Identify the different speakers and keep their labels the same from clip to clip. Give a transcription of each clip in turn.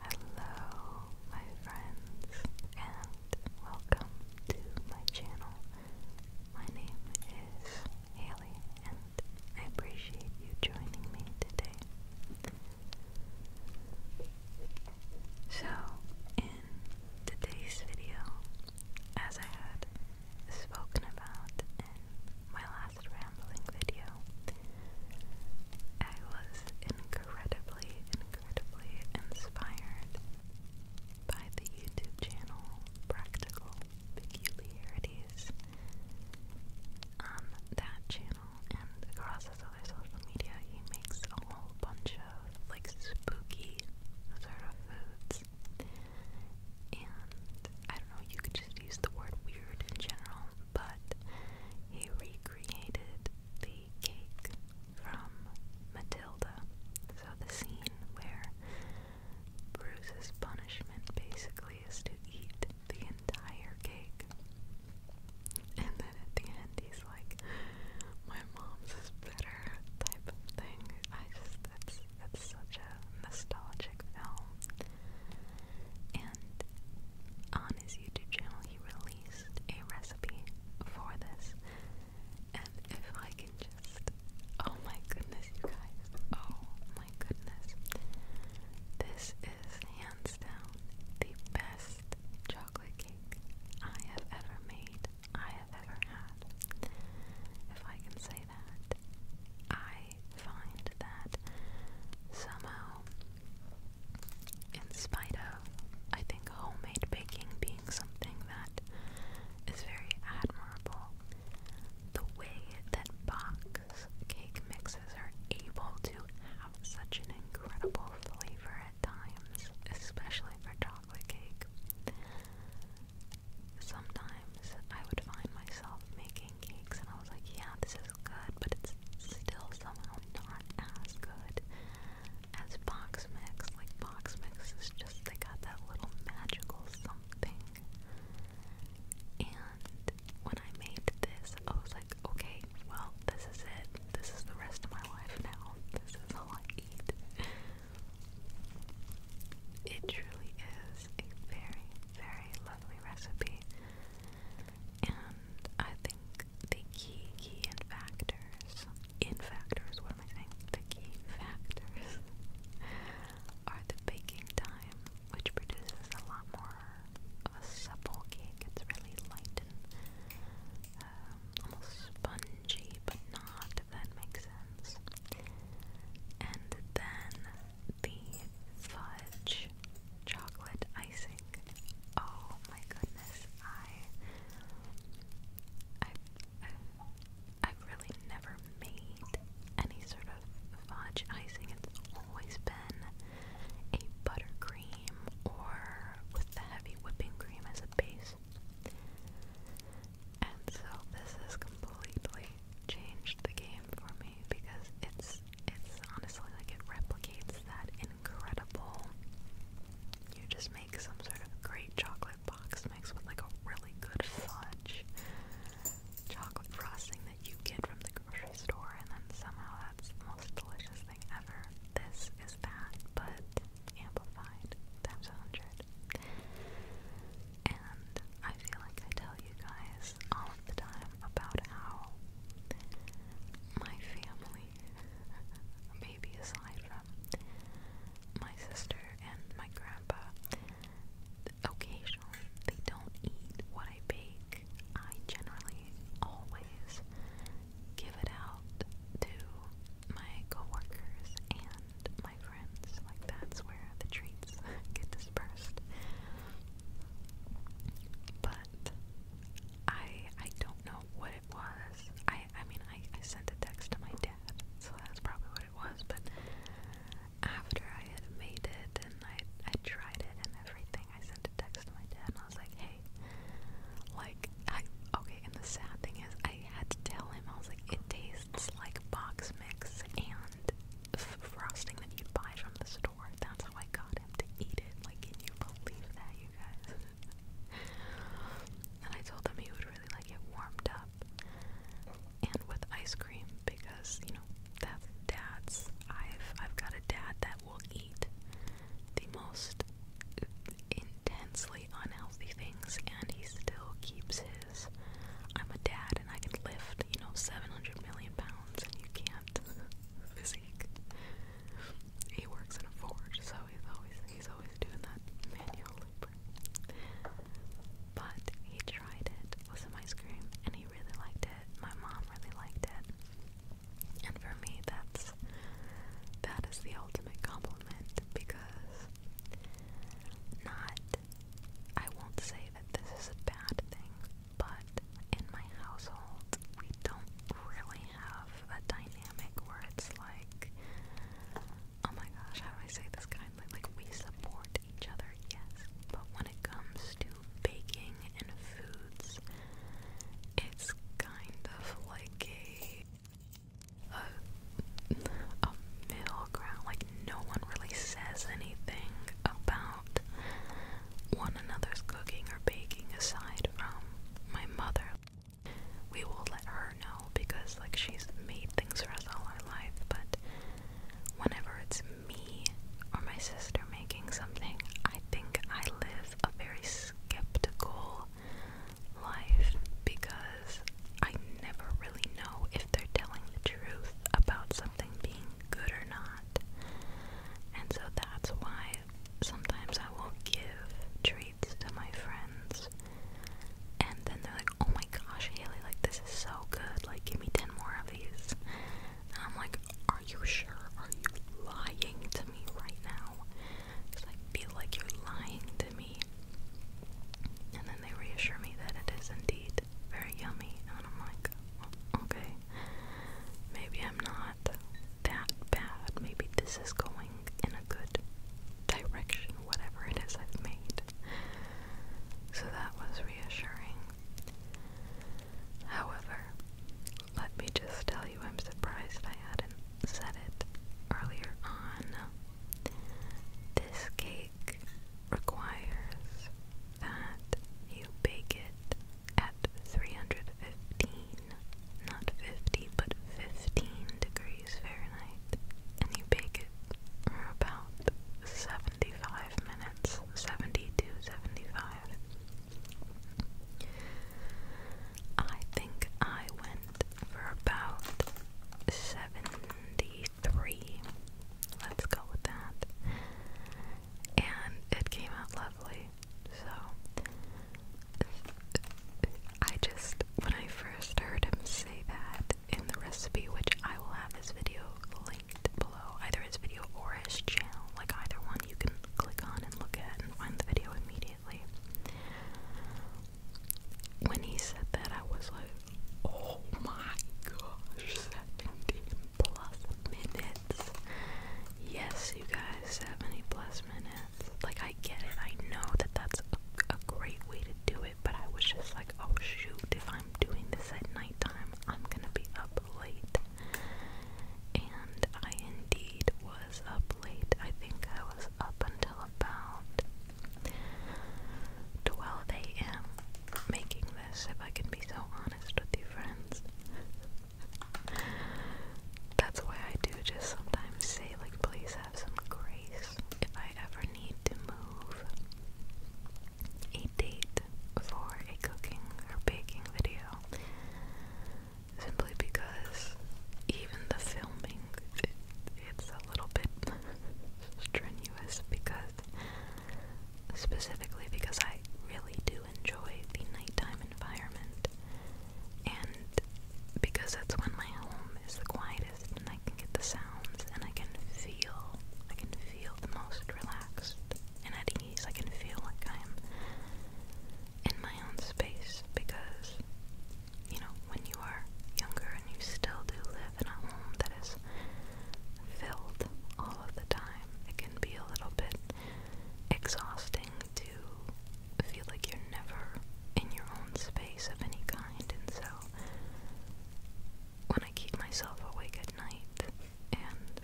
Speaker 1: Hello, my friends, and welcome to my channel. My name is Haley, and I appreciate you joining me today. So, in today's video, as I had spoken about in my rambling video. I was incredibly, incredibly inspired by the YouTube channel Practical Peculiarities. On that channel and across his other social media, he makes a whole bunch of like spooky sort of foods. And I don't know, you could just use the word weird in general, but he recreated the cake from Matilda. So the scene where Bruce's punishment basically is to eat the entire cake. And then at the end he's like, My mom's is better type of thing. I just that's that's such a nostalgic film and on his YouTube channel he released a recipe for this. And if I can just oh my goodness you guys. Oh my goodness. This is hands down the best chocolate cake I have ever made. I have ever had. If I can say that, I find that somehow, in spite of, I think, homemade baking being something that is very admirable, the way that box cake mixes are able to have such an incredible flavor at times, especially for chocolate cake. Sometimes I would find myself making and I was like, yeah, this is good, but it's still somehow not as good as box mix. Like box mix is just they got that little magical something. And when I made this, I was like, okay, well, this is it. This is the rest of my life now. This is all I eat. It truly is a very, very lovely recipe. And I think the key key in factors in factors, what am I saying? The key factors are the baking time, which produces a lot more of a supple cake. It's really light and um, almost spongy, but not, if that makes sense. And then the fudge chocolate icing. Oh my goodness, I, I, i really never made any sort of fudge icing. It's always been a buttercream or with the heavy whipping cream as a base. And so this has completely changed the game for me because it's it's honestly like it replicates that incredible. You just make some sort of great chocolate box mix with like a really good fudge chocolate frosting that you get from the grocery store, and then somehow that's the most delicious thing ever. This is that, but amplified times a hundred. And I feel like I tell you guys all of the time about how my family, maybe aside from my sister and my grandpa, occasionally they don't eat what I bake. I generally always give it out to my coworkers and my friends. Like that's where the treats get dispersed. But that. I I don't know what it was. I I mean I, I sent a text to my dad, so that's probably what it was, but after I had made it and I I tried it and everything, I sent a text to my dad and I was like, Hey like I okay, and the sad thing is I had to tell him, I was like, it tastes like box mix and frosting that you'd buy from the store work. That's how I got him to eat it. Like, can you believe that, you guys? and I told him he would really like it warmed up and with ice cream because you know that's dad's. I've I've got a dad that will eat the most intensely unhealthy things, and he still keeps his. I'm a dad, and I can lift you know 700 million pounds, and you can't. This seek. He works in a forge, so he's always he's always doing that manual labor. But he tried it with some ice cream, and he really liked it. My mom really liked it, and for me, that's that is the ultimate compliment because not. I won't say that this is a bad thing but in my household, we don't really have a dynamic where it's like, oh my gosh, how do I say this kindly? Like, we support each other, yes, but when it comes to baking and foods, it's kind of like a, a, middle ground. Like, no one really says anything about one another's cooking or baking aside from my mother. We will let her know because, like, she's made things for us all our life, but whenever it's me or my sister making something, I think I live a very skeptical life because I never really know if they're telling the truth about something something being good or not. And so that's why sometimes I will give treats to my friends, and then they're like, oh my gosh, Haley, like this is so good, like give me 10 more of these. And I'm like, are you sure? Are you lying to me right now? Because I feel like you're lying to me. And then they reassure me that it is indeed very yummy, and I'm like, Okay. Maybe I'm not that bad. Maybe this is going in a good direction, whatever it is I've made. So that was reassuring. However, let me just tell you I'm surprised I hadn't said it earlier on. This cake requires that you bake it at 315, not 50, but 15 degrees Fahrenheit, and you bake it for about 75 minutes, 70 I think I went for about 73. Let's go with that. And it came out so I just when I first heard him say that in the recipe, which I will have his video linked below, either his video or his channel, like either one you can click on and look at and find the video immediately. When he said that I was like, Oh my gosh, that indeed plus minutes. Yes, you guys, 70 plus minutes. Like, I get it. I know that that's a, great way to do it, but I was just like, oh shoot, if I'm doing this at nighttime, I'm gonna be up late. And I indeed was up late. I think I was up until about 12 a.m. making this, if I can be so honest with you, friends. That's why I do just sometimes say, like, please have some grace if I ever need to move a date for a cooking or baking video. Simply because even the filming, it's a little bit strenuous because, specifically because I really do enjoy the nighttime environment, and because that's when my home is the quietest, and I can get the sounds, and I can feel, I can feel the most relaxed and at ease. I can feel like I am in my own space because, you know, when you are younger and you still do live in a home that is filled all of the time, it can be a little bit exhausting to feel like you're never in your own space of any kind. And so, when I keep myself awake at night and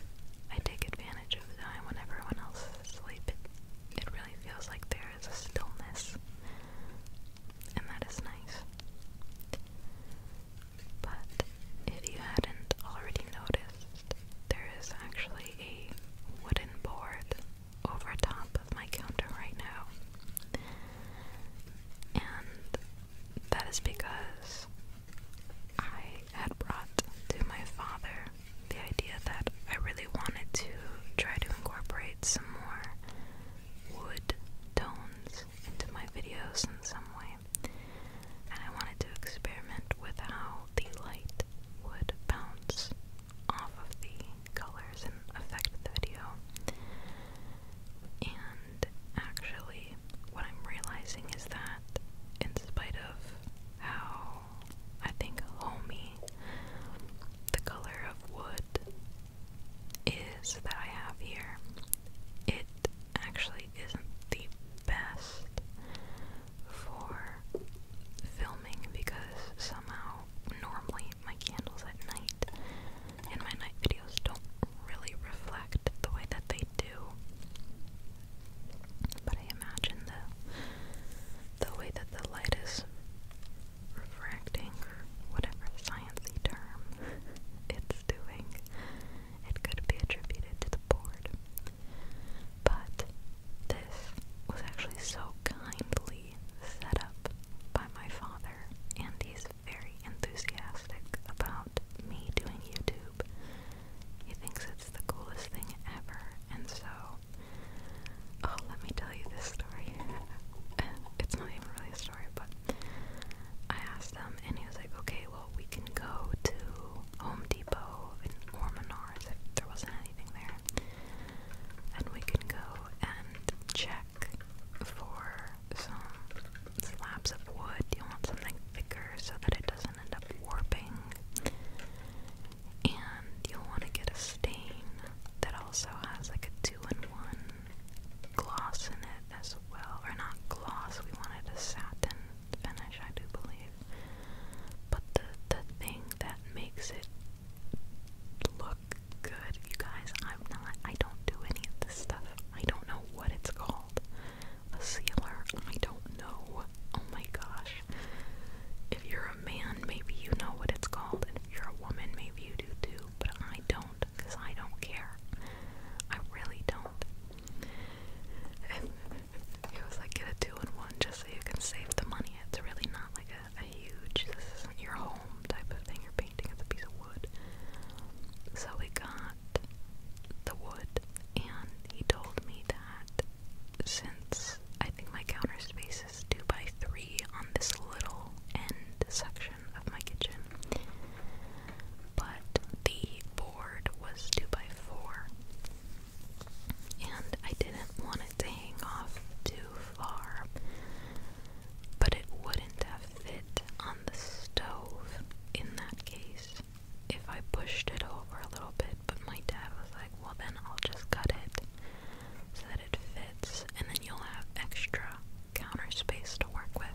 Speaker 1: I take advantage of the time when everyone else is asleep, it really feels like there is a stillness. And that is nice. But if you hadn't already noticed, there is actually a wooden board over top of my counter right now. And that is because I had brought to my father the idea that I really wanted to try to incorporate some more wood tones into my videos in some way and I wanted to experiment with how the light would bounce off of the colors and affect the video. And actually, what I'm realizing is that, in spite of how I think homey the color of wood is that I have here, it actually isn't the best for filming because somehow normally my candles at night and my night videos don't really reflect the way that they do. But I imagine the the way that the light is refracting or whatever sciencey term it's doing. It could be attributed to the board. But this was actually so kindly set up by my father, and very enthusiastic about me doing YouTube. He thinks it's the coolest thing ever, and so. Oh, let me tell you this story. it's not even really a story, but I and he was like, okay, well, we can go to Home Depot and, or if there wasn't anything there. And we can go and check for some slabs of wood. You want something thicker so that it doesn't end up warping. And you'll want to get a stain that also has like a two in one gloss in it as well. Or not gloss, we wanted a satin Spanish, I do believe. But the the thing that makes it look good, you guys, I'm not I don't do any of this stuff. I don't know what it's called. A sealer. I don't know. Oh my gosh. If you're a man, maybe you know what it's called. if you're a woman, maybe you do too. But I don't, because I don't care. I really don't it was like get a two in one just so you can save the money. It's really not like a, a huge this isn't your home type of thing. You're painting it's a piece of wood. So we got the wood, and he told me that since I think my counter space is two by three on this little end section of my kitchen, but the board was 2x4, and I didn't want it to hang off too far, but it wouldn't fit on the stove in that case if I pushed it over a little bit. But my dad was like, well, then I'll just cut it so that it fits, and then you'll have extra counter space to work with.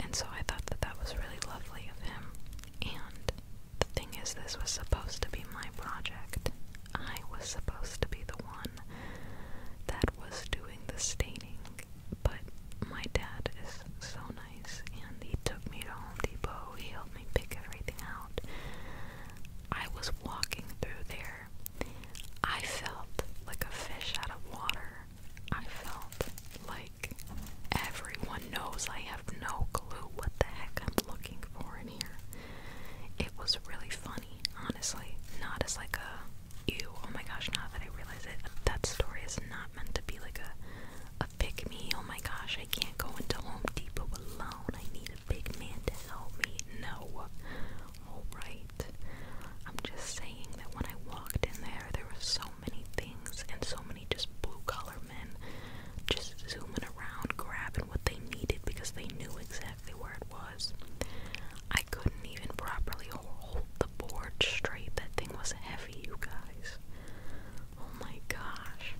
Speaker 1: And so I thought that that was really lovely of him. And the thing is, this was supposed to be my project. I was supposed to be the one that was doing the staining. But my dad is so nice, and he took me to Home Depot. He helped me pick everything out. I was walking through there. I felt like a fish out of water. I felt like everyone knows I have no clue what the heck I'm looking for in here. It was really funny, honestly. Not as like a ew, oh my gosh, not that I realize it, that story is not meant to be like a a pick me, oh my gosh, I can't go into Home Depot alone. I need a big man to help me. No. Alright. I'm just saying that when I walked in there there was so many things and so many just blue collar men just zooming around grabbing what they needed because they knew exactly where it was. I couldn't even properly hold the board straight. That thing was heavy, you guys. Oh my gosh.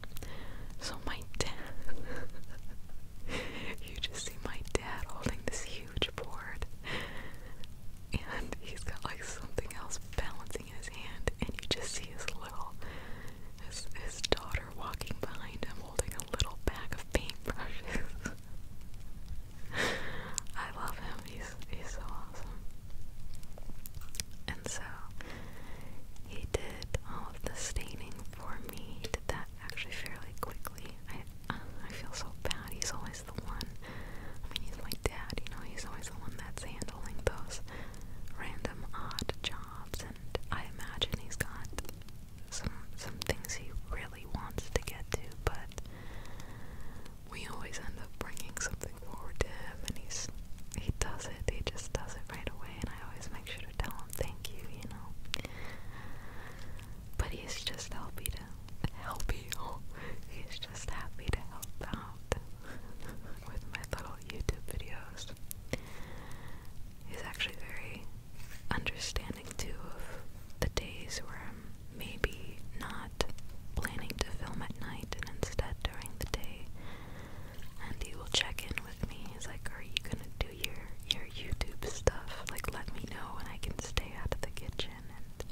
Speaker 1: So my dad you just see my dad holding this huge board and he's got like something else balancing his hand, and you just see his little his daughter walking behind him holding a little bag of paintbrushes. I love him. He's he's so awesome. And so he did all of the staining for me. He did that actually fairly quickly. I uh, I feel so bad. He's always always the one. I mean, he's my dad, you know, he's always the one that's handling those random odd jobs, and I imagine he's got some some things he really wants to get to, but we always end up bringing something forward to him, and he's he does it. He just does it right away, and I always make sure to tell him thank you, you know. But he's just helpy to helpy. Oh, he's just happy to help out with my little YouTube videos. He's actually very understanding too of the days where I'm maybe not planning to film at night and instead during the day. And he will check in with me. He's like, Are you gonna do your your YouTube stuff? Like let me know and I can stay out of the kitchen and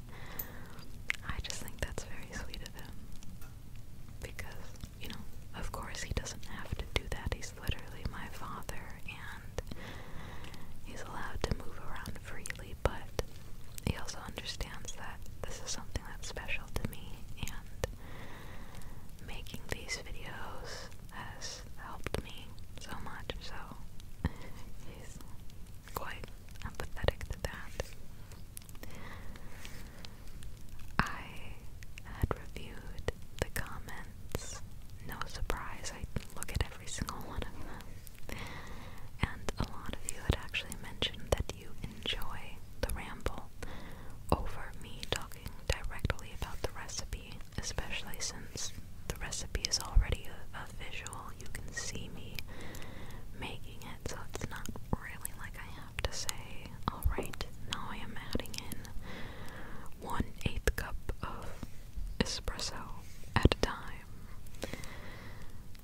Speaker 1: I just think that's very sweet because, you know, of course he doesn't have to do that. He's literally my father and he's allowed to move around freely, but he also understands that this is something that's special to me and making these videos has helped me so much, so he's quite empathetic to that. I had reviewed the comments. No surprise, I look at every single one of them. And a lot of you had actually mentioned that you enjoy the ramble over me talking directly about the recipe, especially since the recipe is already a, a visual you can see me making it, so it's not really like I have to say, alright, now I am adding in one eighth cup of espresso at a time.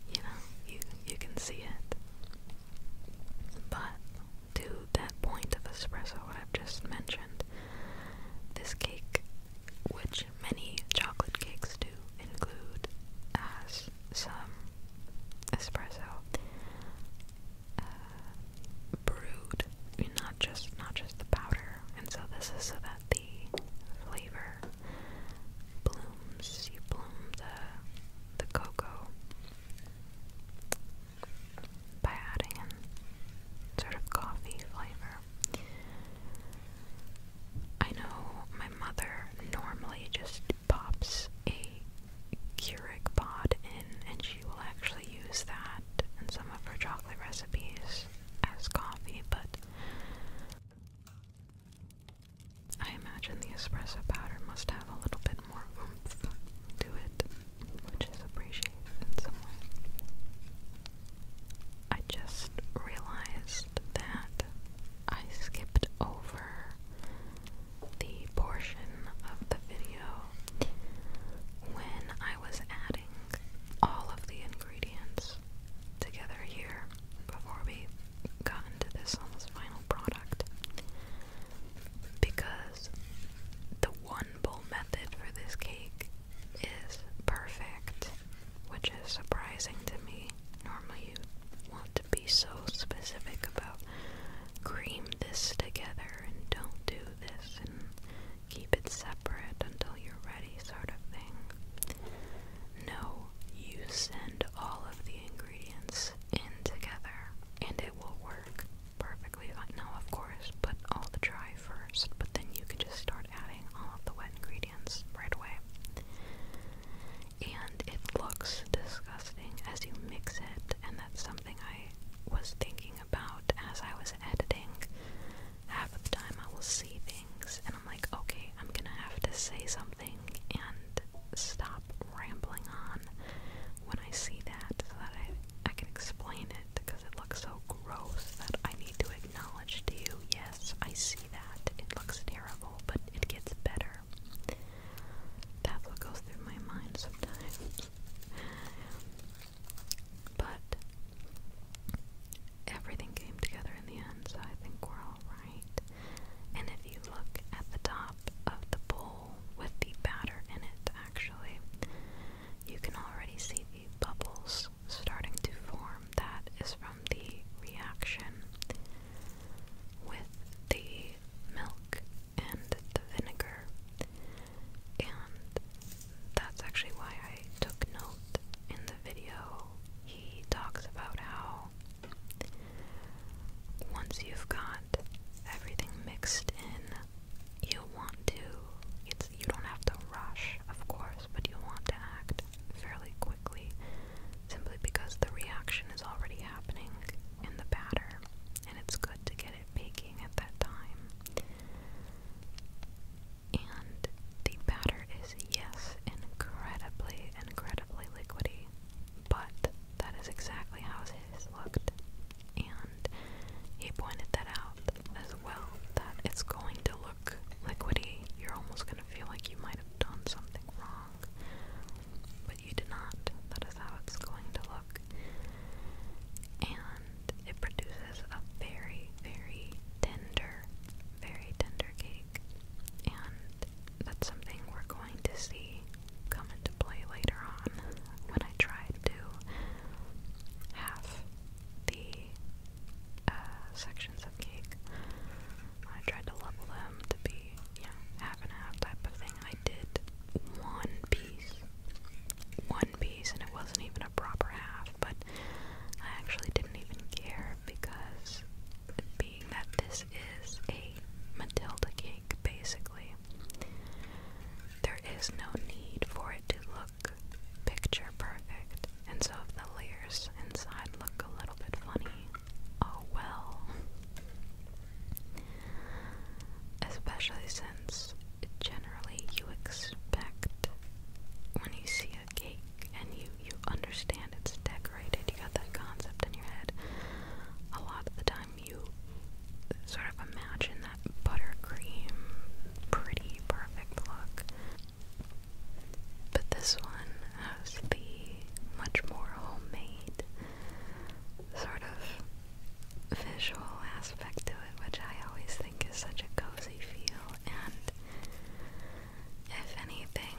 Speaker 1: You know, you you can see it. But to that point of espresso, I've just mentioned, this cake, which many chocolate cakes do include, as some espresso uh, brewed, not just not just the powder. And so this is so that the flavor blooms. You bloom the the cocoa by adding in sort of coffee flavor. I know my mother normally just pops a Keurig pod in, and she will actually use that in some of her chocolate recipes as coffee, but I imagine the espresso powder must have a little bit more oomph to it, which is appreciated in some way. I just realized that I skipped over the portion of the video when I was adding all of the ingredients together here before we got into this almost final product because the one bowl method for this cake is perfect, which is surprising to me. Normally, you want to be be so specific about cream this together and don't do this and keep it separate until you're ready, sort of thing. No, you send all of the ingredients in together and it will work perfectly uh, Now, of course, put all the dry first, but then you can just start adding all of the wet ingredients right away and it looks disgusting as you mix it, and that's something I was thinking about as I was editing. Half of the time I will see things, and I'm like, okay, I'm gonna have to say something and stop rambling on when I see that so that I, I can explain it because it looks so gross that I need to acknowledge to you yes, I see that. It looks terrible, but it gets better hair. That's what goes through my mind sometimes. but everything came together in the end, so I think we're alright. And if you look at the top of the bowl with the batter in it, actually, you can already see the bubbles starting to form. That is from the reaction with the milk and the vinegar, and that's actually why I took note in the video. He talks about how once you've got everything mixed in, you want to it's you don't have to rush, of course, but you want to act fairly quickly simply because the reaction is already happening in the batter and it's good to get it baking at that time. And the batter is, yes, incredibly, incredibly liquidy, but that is exactly how his looked. And he pointed that out as well that it's going to look liquidy. You're almost going to feel like you might have done something wrong. But you did not. That is how it's going to look. And it produces a very, very tender, very tender cake. And that's something we're going to see come into play later on when I try to have the uh, sections of cake. I tried to level them to be yeah, half and half type of thing. I did one piece. One piece, and it wasn't even a proper half, but I actually didn't even care because, being that this is a Matilda cake, basically, there is no need for it to look picture perfect. And so, if the layers inside look a little bit funny, oh well. Especially since generally you expect when you see a cake and you, you understand it's decorated, you got that concept in your head. A lot of the time you sort of imagine that buttercream, pretty, perfect look. But this one has the much more homemade sort of visual aspect to it, which I always think is such a cozy feel. And if anything,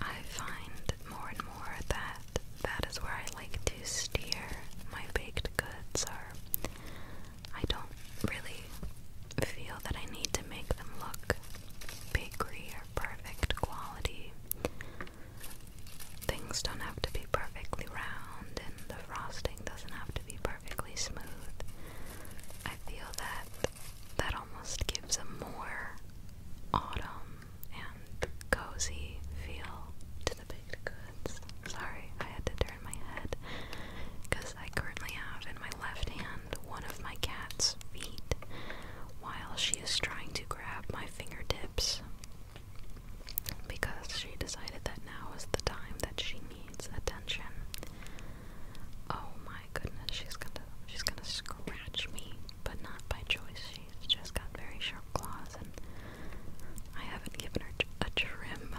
Speaker 1: I find more and more that that is where I like to steer my baked goods, or I don't really feel that I need to make them look bakery perfect quality. Things don't have to be perfectly round, and the frosting doesn't have to be perfectly smooth. I feel that that almost gives a more autumn and cozy feel to the baked goods. Sorry, I had to turn my head because I currently have in my left hand one of my cat's feet while she is trying to grab my fingertips because she decided that now is the time that she needs attention. Oh my goodness, she's gonna she's gonna scratch me, but not by choice. She's just got very sharp claws and I haven't given her a trim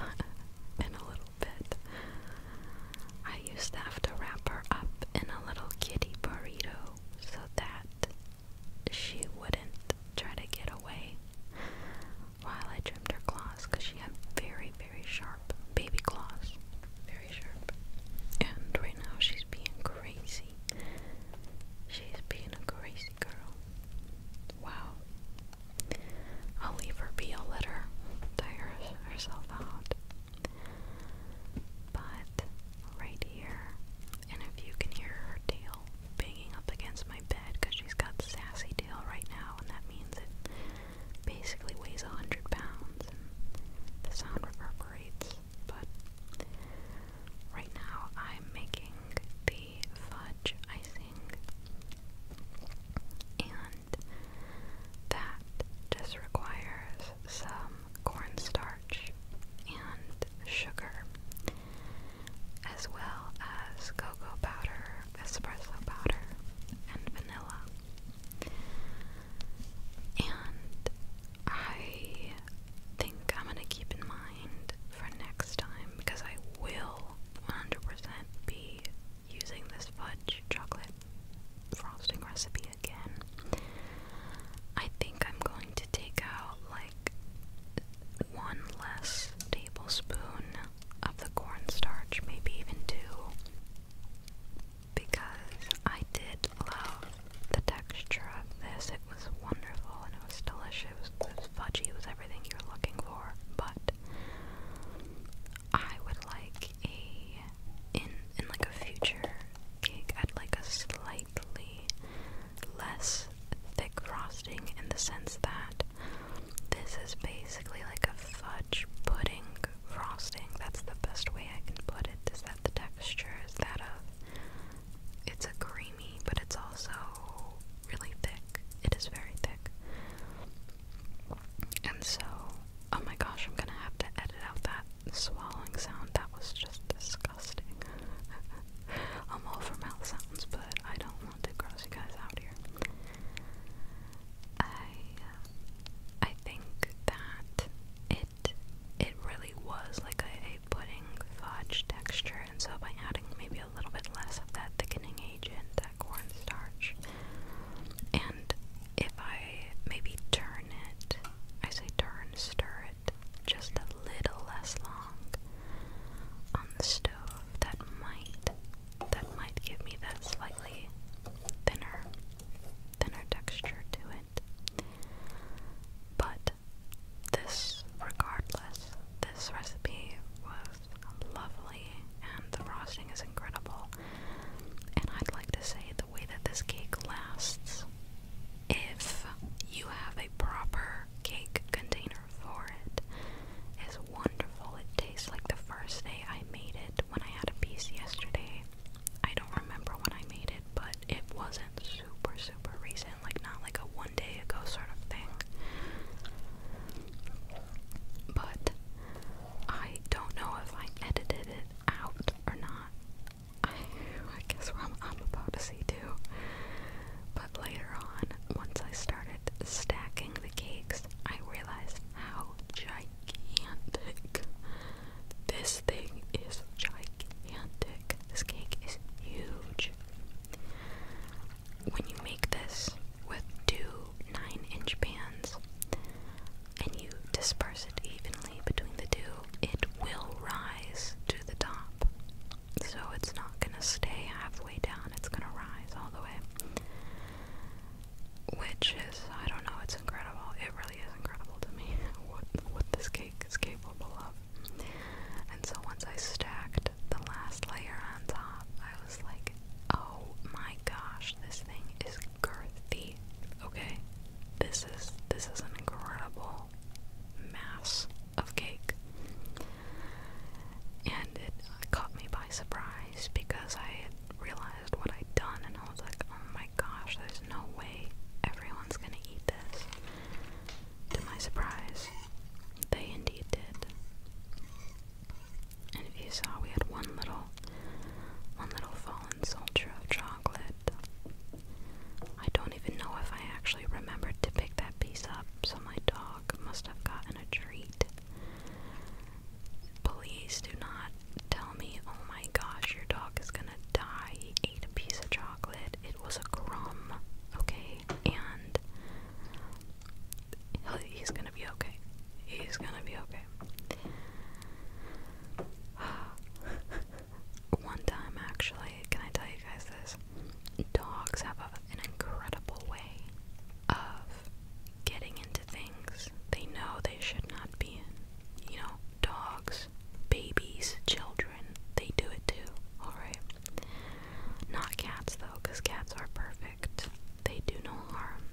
Speaker 1: in a little bit. I used to have to wrap her up in a little kitty burrito so that she wouldn't try to get away while I trimmed her claws because she had very, very sharp baby claws. Very sharp. And right now she's being crazy. She's being a crazy girl. Wow. I'll leave her be. a will tire herself out. But right here, and if you can hear her tail banging up against my bed because she's got sassy tail right now, and that means it basically weighs a 100 pounds the sound reverberates. But right now, I'm making the fudge icing. And that just requires some from cornstarch and sugar, as well as cocoa powder, espresso powder, and vanilla. And I think I'm gonna keep in mind for next time because I will 100% be using this fudge chocolate frosting recipe again. I think I'm going to take out like one less tablespoon of the cornstarch, maybe even two, because I did love the texture of this. It was wonderful and it was delicious. It was, it was fudgy. It was everything you're looking for. But I would like a in in like a future cake at like a slightly less thick frosting in the sense that this is basically like a fudge pudding frosting. That's the best way I can put it. Is that the texture is that of it's a creamy, but it's also really thick. It is very thick. And so, oh my gosh, I'm gonna have to edit out that swallowing sound, that was just disgusting. I'm all for mouth sounds, but I don't want to gross you guys out here. I, uh, I think that it, it really was like a pudding fudge texture, and so by adding maybe a little bit less of that thickening agent, that cornstarch, and if I maybe turn it I say turn, stir it just a little less long on the stove. That might that might give me that slightly thinner thinner texture to it. But this regardless, this recipe was lovely and the frosting is incredible. And I'd like to say the way that this cake lasts if you have a proper cake container for it is wonderful. It tastes like the first day I made it when I had a piece yesterday. I don't remember when I made it, but it wasn't super, super recent, like not like a one day ago sort of thing. But I don't know if I edited it out or not. I, guess what I'm about to see too. But later on, once I started stacking the cakes, I realized how gigantic this thing is. Gigantic. This cake is huge. When you make this with two nine inch pans, and you disperse it evenly between the two, it will rise to the top. So it's not going to stay halfway down, it's going to rise all the way. Which is, I don't know, it's incredible. It really is incredible to me what, this cake is capable of. And so once I stacked the last layer on top, I was like, oh my gosh, this thing is McCarthy. Okay, this is this is an incredible mass of cake, and it caught me by surprise because I had realized what I'd done, and I was like, "Oh my gosh, there's no way everyone's gonna eat this." To my surprise, they indeed did. And if you saw, we had one little, one little fallen soldier of chocolate, I don't even know if I actually remembered to pick that piece up, so my dog must have gotten a treat. Please do not tell me, oh my gosh, your dog is gonna die. He ate a piece of chocolate. It was a crumb, okay? And he's gonna be okay. He's gonna be okay. One time, actually, can I tell you guys this? Dogs have a, an incredible way of getting into things they know they should not be in. You know, dogs, babies, children, they do it too, alright? Not cats though, because cats are perfect. They do no harm.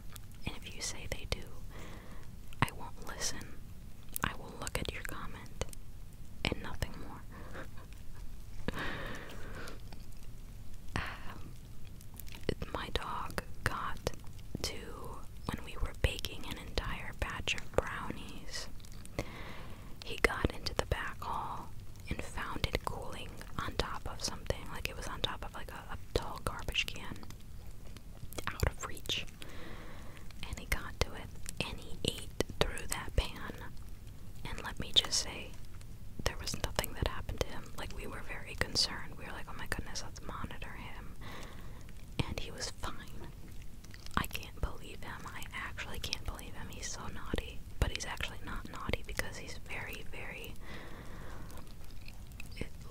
Speaker 1: And if you say they do, I won't listen. I will look at your comment and nothing more. Um, my dog got to when we were baking an entire batch of brownies. He got into the back hall and found it cooling on top of something, like it was on top of like a tall garbage can, out of reach. And he got to it and he ate through that pan. And let me just say, there was nothing that happened to him. Like, we were very concerned. We were like, oh my goodness, let's monitor him. And he was fine. I can't believe him. I actually can't believe him. He's so naughty. But he's actually not naughty because he's very, very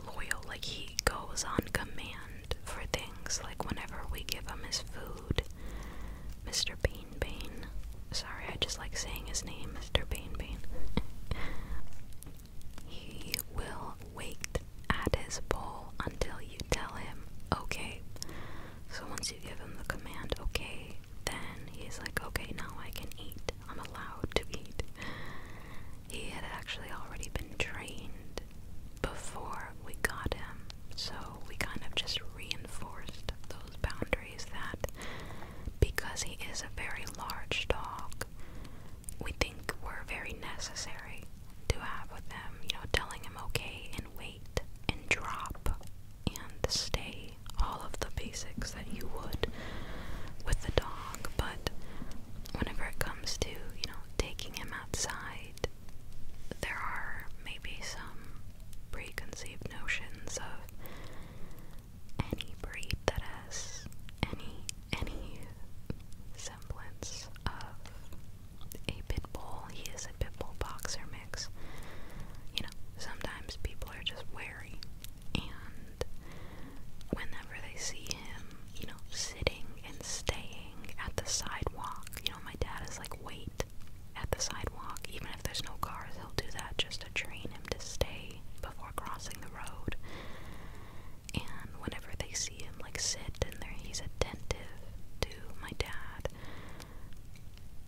Speaker 1: loyal. Like he goes on command for things. Like whenever we give him his food, Mr. Bean Bean. Sorry, I just like saying his name, Mr. Bean Bean. he will wait at his bowl until you tell him okay. So once you give him the command okay, then he's like, okay, now I can eat. I'm allowed to eat. He had actually already been trained before we got him, so we kind of just reinforced those boundaries that because he is a very large dog, we think were very necessary to have with him, you know, telling him okay and wait and drop and stay, all of the basics that you would with the dog, but whenever it comes to, you know, taking him outside, there are maybe some preconceived notions of any breed that has any any semblance of a pit bull. He is a pit bull boxer mix. You know, sometimes people are just wary and whenever they see him, you know, sitting and staying at the sidewalk. You know, my dad is like, wait at the sidewalk. Even if there's no cars, he'll do that just to train him to stay before crossing the road. And whenever they see him like sit and there, he's attentive to my dad.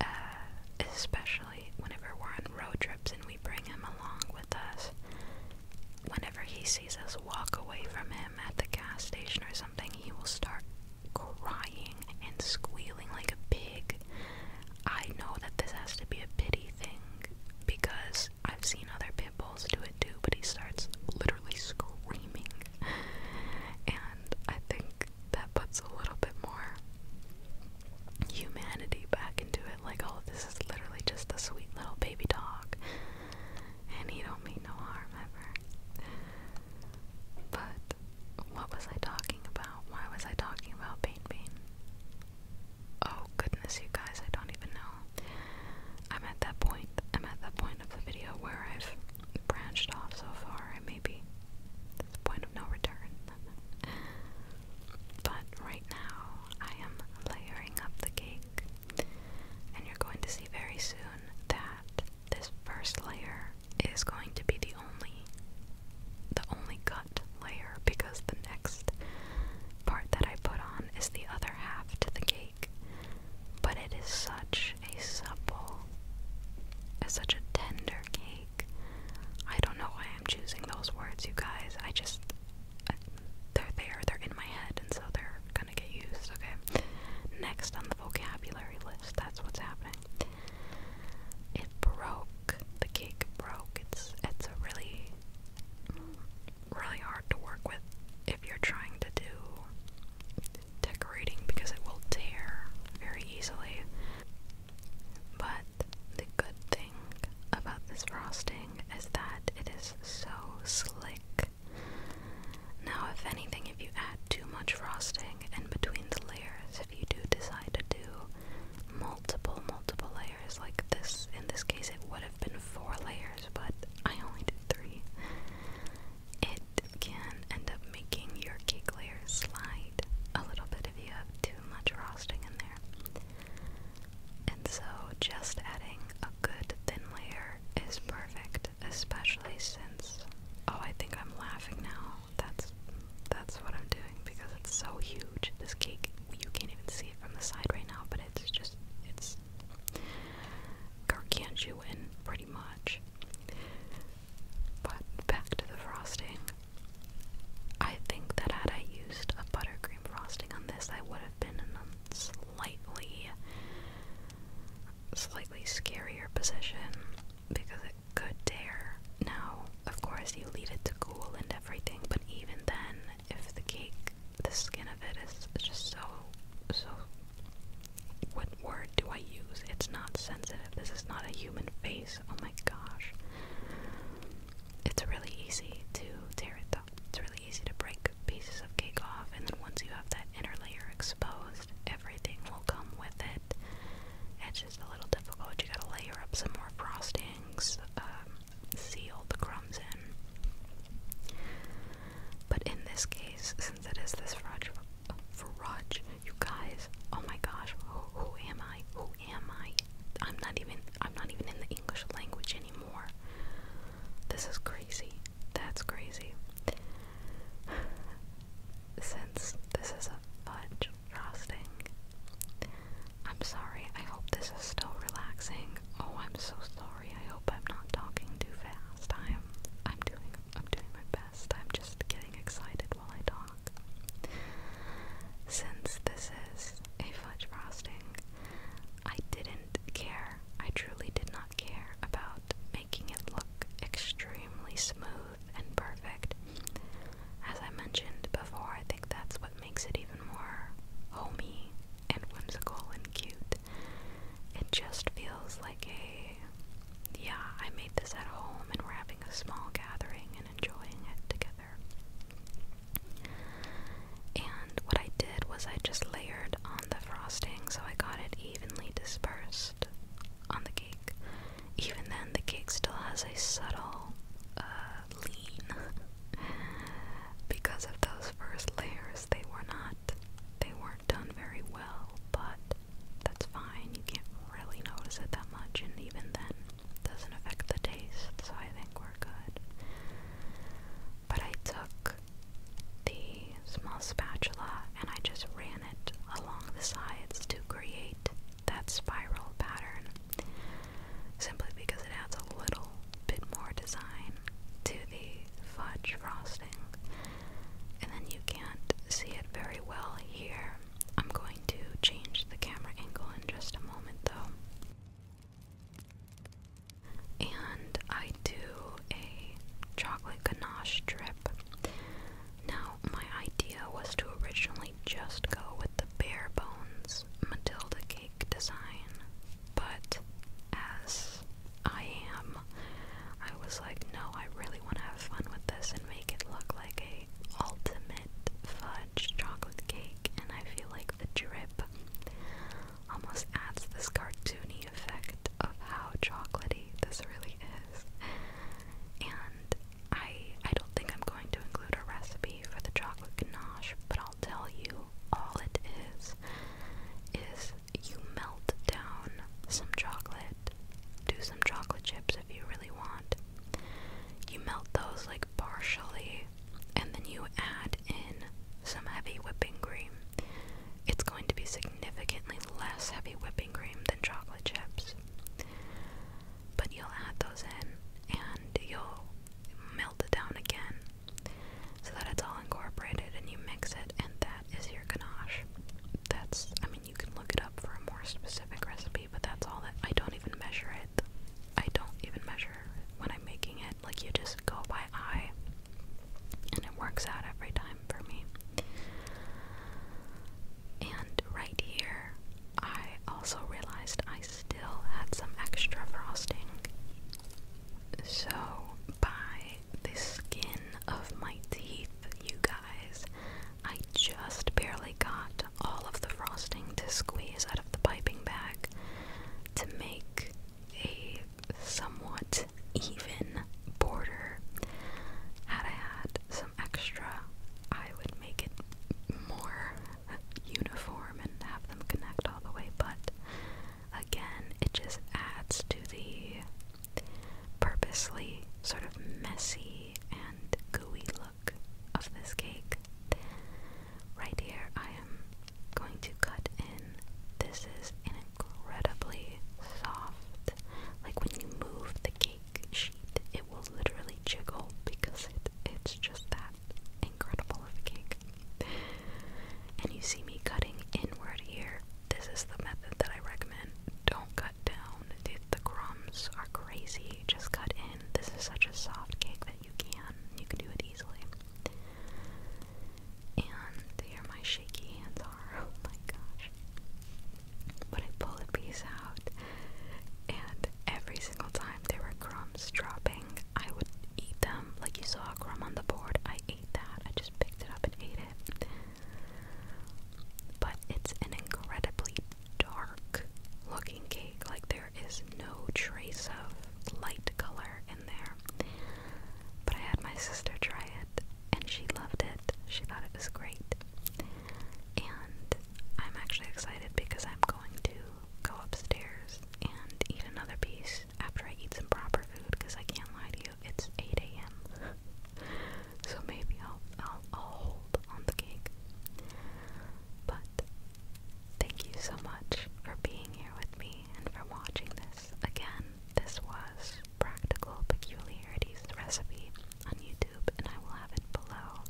Speaker 1: Uh, especially whenever we're on road trips and we bring him along with us whenever he sees us walk away from him at the gas station or something, he will start crying and squealing like a pig. I know that this has to be a pity thing because I've seen other pit bulls do it too, but he starts literally screaming. And I think that puts a little bit more humanity back into it. Like, oh, this is literally just a sweet little baby dog and he don't mean no harm ever. But what was I talking about? Why was I talking about Pain Pain? Oh goodness, you guys, I don't even know. I'm at that point. I'm at that point of the video where I've branched off so far. I may be the point of no return. but right now, I am layering up the cake and you're going to see very soon that this first layer is going to be the only the only cut layer because the next part that I put on is the other half to the cake. But it is such a supple it's such a tender cake. I don't know why I'm choosing those words, you guys. I just uh, they're there, they're in my head, and so they're Next on the vocabulary list, that's what's happening. It broke. The cake broke. It's it's a really really hard to work with if you're trying to do decorating because it will tear very easily. But the good thing about this frosting is that it is so slick now, if anything, if you add too much frosting in between the layers, if you do decide to do multiple, multiple layers like this, in this case it would have been four layers, but I only did three, it can end up making your cake layers slide a little bit if you have too much frosting in there. And so, just adding a good thin layer color is perfect, especially since oh, I think I'm laughing now. That's that's what I'm doing because it's so huge. This cake, you can't even see it from the side right now, but it's just it's gargantuan pretty much. But back to the frosting. I think that had I used a buttercream frosting on this, I would been in a slightly, slightly scarier position because it could tear. Now, of course, you leave it to cool and everything, but even then, if the cake, the skin of it is just so, so. What word do I use? It's not sensitive. This is not a human face. Oh my gosh. It's really easy to tear it though. It's really easy to break pieces of cake off, and then once you have that inner layer exposed, everything will come with it. It's just a little difficult. You gotta layer up some more frostings, um, seal the crumbs in. But in this case, since it is this fudge, fudge, you guys, oh my gosh, who, who am I? Who am I? I'm not even. I'm not even in the English language anymore. This is crazy. That's crazy. Since this is a fudge frosting, I'm sorry. I hope this is still relaxing. Oh, I'm so sorry. I hope I'm not talking too fast. I'm I'm doing I'm doing my best. I'm just getting excited while I talk. Since this is a fudge frosting, I didn't care. I truly did not care about making it look extremely smooth and perfect. As I mentioned before, I think that's what makes it even more homey and whimsical and cute. It just feels like a, yeah, I made this at home and we're having a small gathering and enjoying it together. And what I did was I just layered on the frosting so I got it evenly dispersed on the cake. Even then, the cake still has a subtle uh, lean because of those first layers. They were not, they weren't done very well, but that's fine. You can't really notice it that much, and even then, it doesn't affect the taste. So I think we're good but I took the small spatula and I just ran it along the sides to create that spiral pattern simply because it adds a little bit more design to the fudge frosting. And then you can't see it very well here. I'm going to change the camera angle in just a moment though. And I do a chocolate ganache drip. Now, my idea was to originally just go with the bare bones Matilda cake design, but as I am, I was like, no, I really want to have fun with this and make it look like a ultimate fudge chocolate cake, and I feel like the drip almost adds this cartoony effect of how chocolatey this really is. And I I don't think I'm going to include a recipe for the chocolate ganache, but I'll tell you all it is is you melt down some chocolate, do some chocolate chips if you really want. You melt those like partially and then you add in some heavy whipping cream. It's going to be significantly less heavy whipping cream than chocolate chips. But you'll add those in and you'll melt it down again so that it's all incorporated and you mix it, and that is your ganache. That's, I mean, you can look it up for a more specific recipe, but that's all that I don't even measure it. I don't even measure when I'm making it, like, you just go by eye and it works out every time for me. And right here, I also realized I still had some extra frosting. So, by the skin of my teeth, you guys, I just barely got all of the frosting to squeeze out of the piping bag to make a somewhat even border. Had I had some extra, I would make it more uniform and have them connect all the way, but again, it just adds to the purposely sort of messy and gooey look of this cake. Right here, I am going to cut in. This is incredibly soft, like when you move the cake sheet, it will literally jiggle because it, it's just that incredible of a cake. And you see me cutting inward here. This is the method that I recommend. Don't cut down. The, the crumbs are crazy. Just cut in. This is such a soft cake that you can. You can do it easily. And there my shaky hands are. Oh my gosh. But I pull a piece out, and every single time there were crumbs dropping, I would eat them. Like you saw a crumb on the board, I ate that. I just picked it up and ate it. But it's an incredibly dark looking cake. Like there is no trace of light color in there. But I had my sister try it, and she loved it. She thought it was great. And I'm actually excited because I'm going to go upstairs and eat another piece after I eat some proper food because I can't lie to you, it's 8 a.m. so maybe I'll, I'll hold on the cake. But thank you so much for being here with me and for watching this. Again, this was Practical Peculiarities Recipe on YouTube, and I will have it below.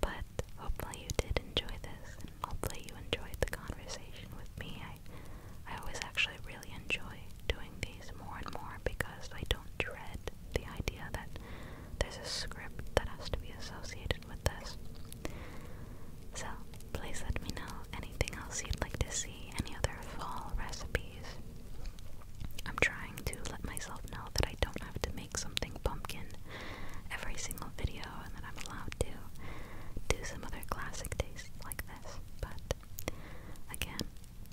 Speaker 1: But hopefully you did enjoy this, and hopefully you enjoyed the conversation with me. I, I always actually really enjoy doing these more and more because I don't dread the idea that there's a script that has to be associated with this. So, please let me know anything else you'd like to see, any other fall recipes. I'm trying to let myself know that I don't have to make something pumpkin every single video and that I'm allowed to do some other classic tastes like this. But again,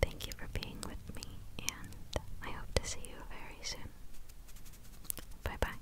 Speaker 1: thank you for being with me and I hope to see you very soon. Bye bye.